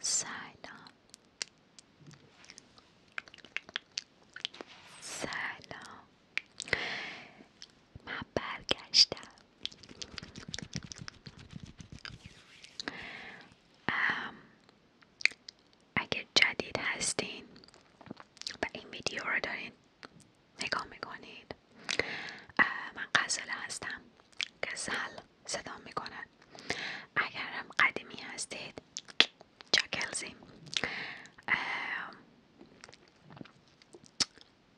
سلام سلام من برگشتم اگر جدید هستین و این ویدیو رو دارین نگاه میکنید من قزله هستم قزل صدا میکنن اگر هم قدیمی هستید چاکلزی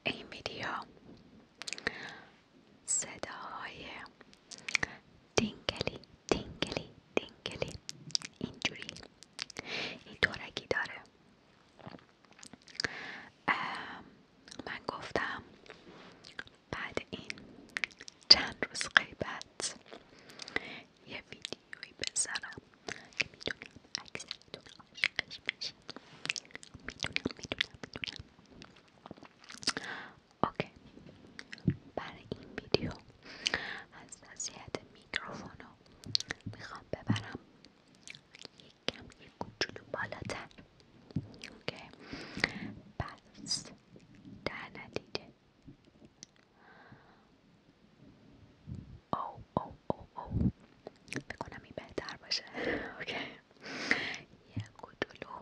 این ویدیو صداهای دینگلی دینگلی دینگلی اینجوری این دورکی داره من گفتم بعد این چند روز قیبت یه ویدیویی بزرگ که میدونم اکثرتون عاشقش میتونم میدونم میدونم میدونم اوکی برای این ویدیو از وضعیت میکروفونو میخوام ببرم یک کم یک کوچولو بالاتر اوکی پس در ندیده او او او او بکنم این بهتر باشه یه گدولو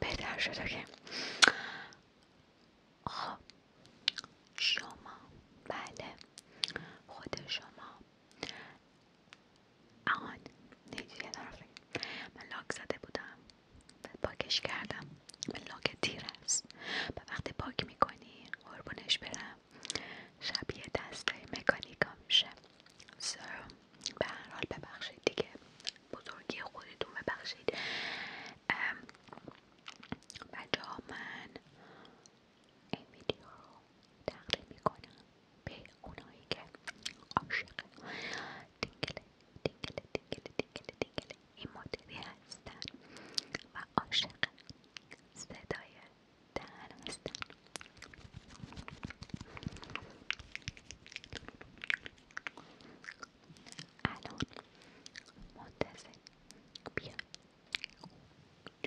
بهتر شد اوکی خب شما بله خود شما آهان یه من لاک زده بودم و پاکش کردم من لاک تیر است و وقتی پاک میکنی قربونش برم شبیه دستای مکانیکا میشه سر به هر حال ببخشید دیگه بزرگی خودتون ببخشید و ها من این ویدیو تقدیم میکنم به اونایی که عاشق دینگله دینگله دینگله دینگله دینگله این مدلی هستن و عاشق صدای دهن هستن الان منتظر بیا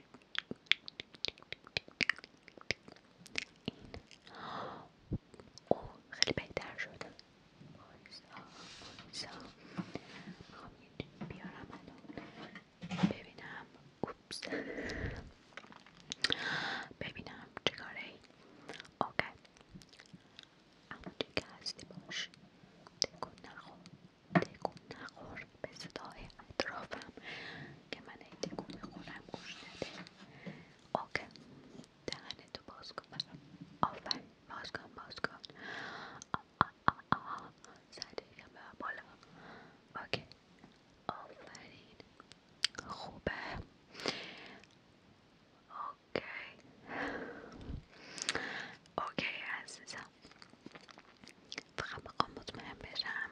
این اوه خیلی بهتر شده بایستا خب، بایستا خب، میخوام یه بیارم الان ببینم اوپس ببینم چه کاره ای اوکی که هستی باش تکون نخور تکون نخور به صدای اطرافم که من این تکون بخورم گوش نده اوکی دهنتو باز کن آفرین باز کن باز کن آه یکم بالا اوکی آفرین خوبه اوکی اوکی عزیزم فقط بخوام مطمئن بشم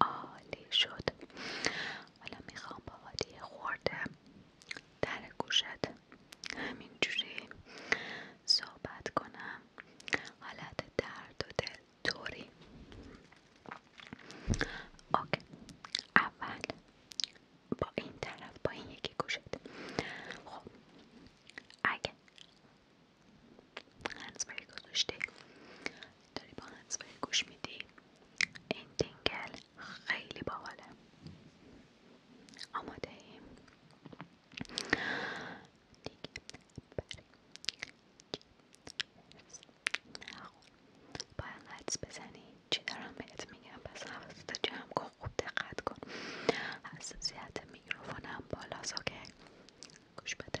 عالی شد حالا میخوام با وادی خورده در گوشت همینجوری صحبت کنم حالت درد و دل توری اوکی اول با این طرف با این یکی گوشت خب اگه هنسفری گذاشتی داری با گوش میدی این دنگل خیلی باحاله آماده ایم باید حدس بزنی چی دارم بهت میگم پس حواستو جام کن خوب دقت کن حساسیت میکروفونم بالاست اوکی گوش بده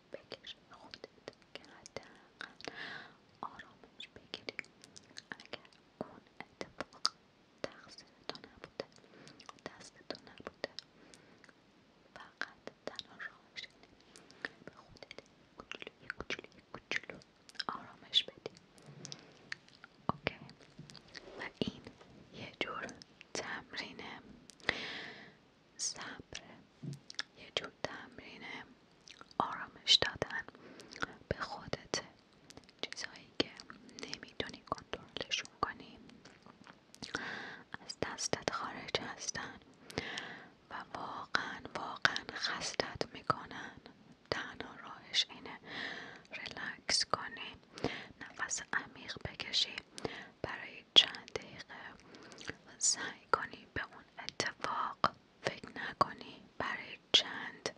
بگیر خودت که حداقل آرامش بگیری اگر اون اتفاق تقصیر تو نبوده دست تو نبوده فقط تنها به خودت کوچولو کوچولو کوچولو آرامش بدی اوکی و این یه جور تمرینه صبر یه جور تمرین آرامش دادن به خودت چیزهایی که نمیتونی کنترلشون کنی از دستت خارج هستن و واقعا واقعا خستت میکنن تنها راهش اینه ریلکس کنی نفس عمیق بکشی برای چند دقیقه سعی کنی به اون اتفاق فکر نکنی برای چند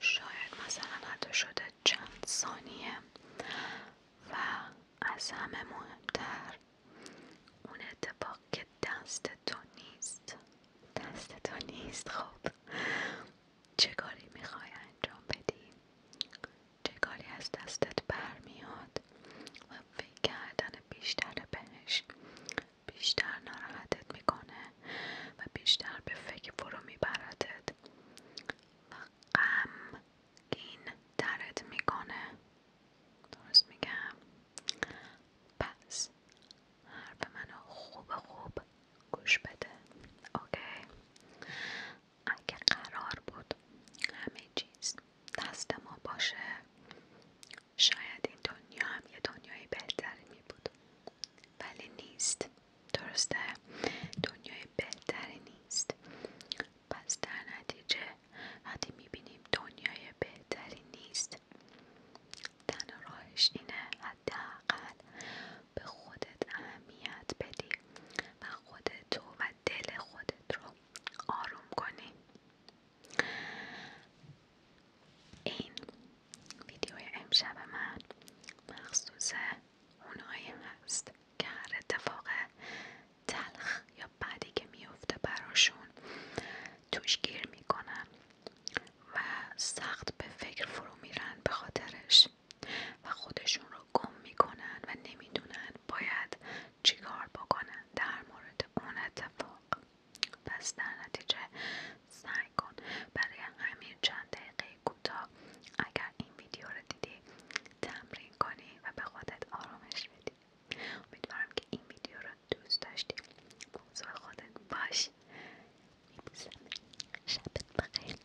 شاید مثلا حتی شده چند ثانیه و از همه مهمتر اون اتفاق که دست تو نیست دست تو نیست خب چه میخوای انجام بدی چه کاری از دستت برمیاد و فکر کردن بیشتر بهش بیشتر ناراحتت میکنه و بیشتر به فکر فرو میبردت و غم گین درت میکنه درست میگم پس حرف منو خوب خوب گوش بده اوکی اگه قرار بود همه چیز دست ما باشه شاید این دنیا هم یه دنیای بهتری می بود ولی نیست درسته دنیای بهتری نیست پس در نتیجه وقتی میبینیم دنیای بهتری نیست تنها راهش اینه حداقل به خودت اهمیت بدی و خودت و دل خودت رو آروم کنید این ویدیوی امشب من مخصوص اونایی هست که هر اتفاق تلخ یا بدی که میفته براشون توش گیر میکنن و سخت به فکر فرو میرن به خاطرش و خودشون رو گم میکنن و نمیدونن باید چیکار بکنن در مورد اون اتفاق پس در نتیجه سعی کن برای همین چند دقیقه کوتاه اگر این ویدیو رو دیدی تمرین کنی و به خودت آرامش بدی امیدوارم که این ویدیو رو دوست داشتی موضوع خودت باش شب بخیر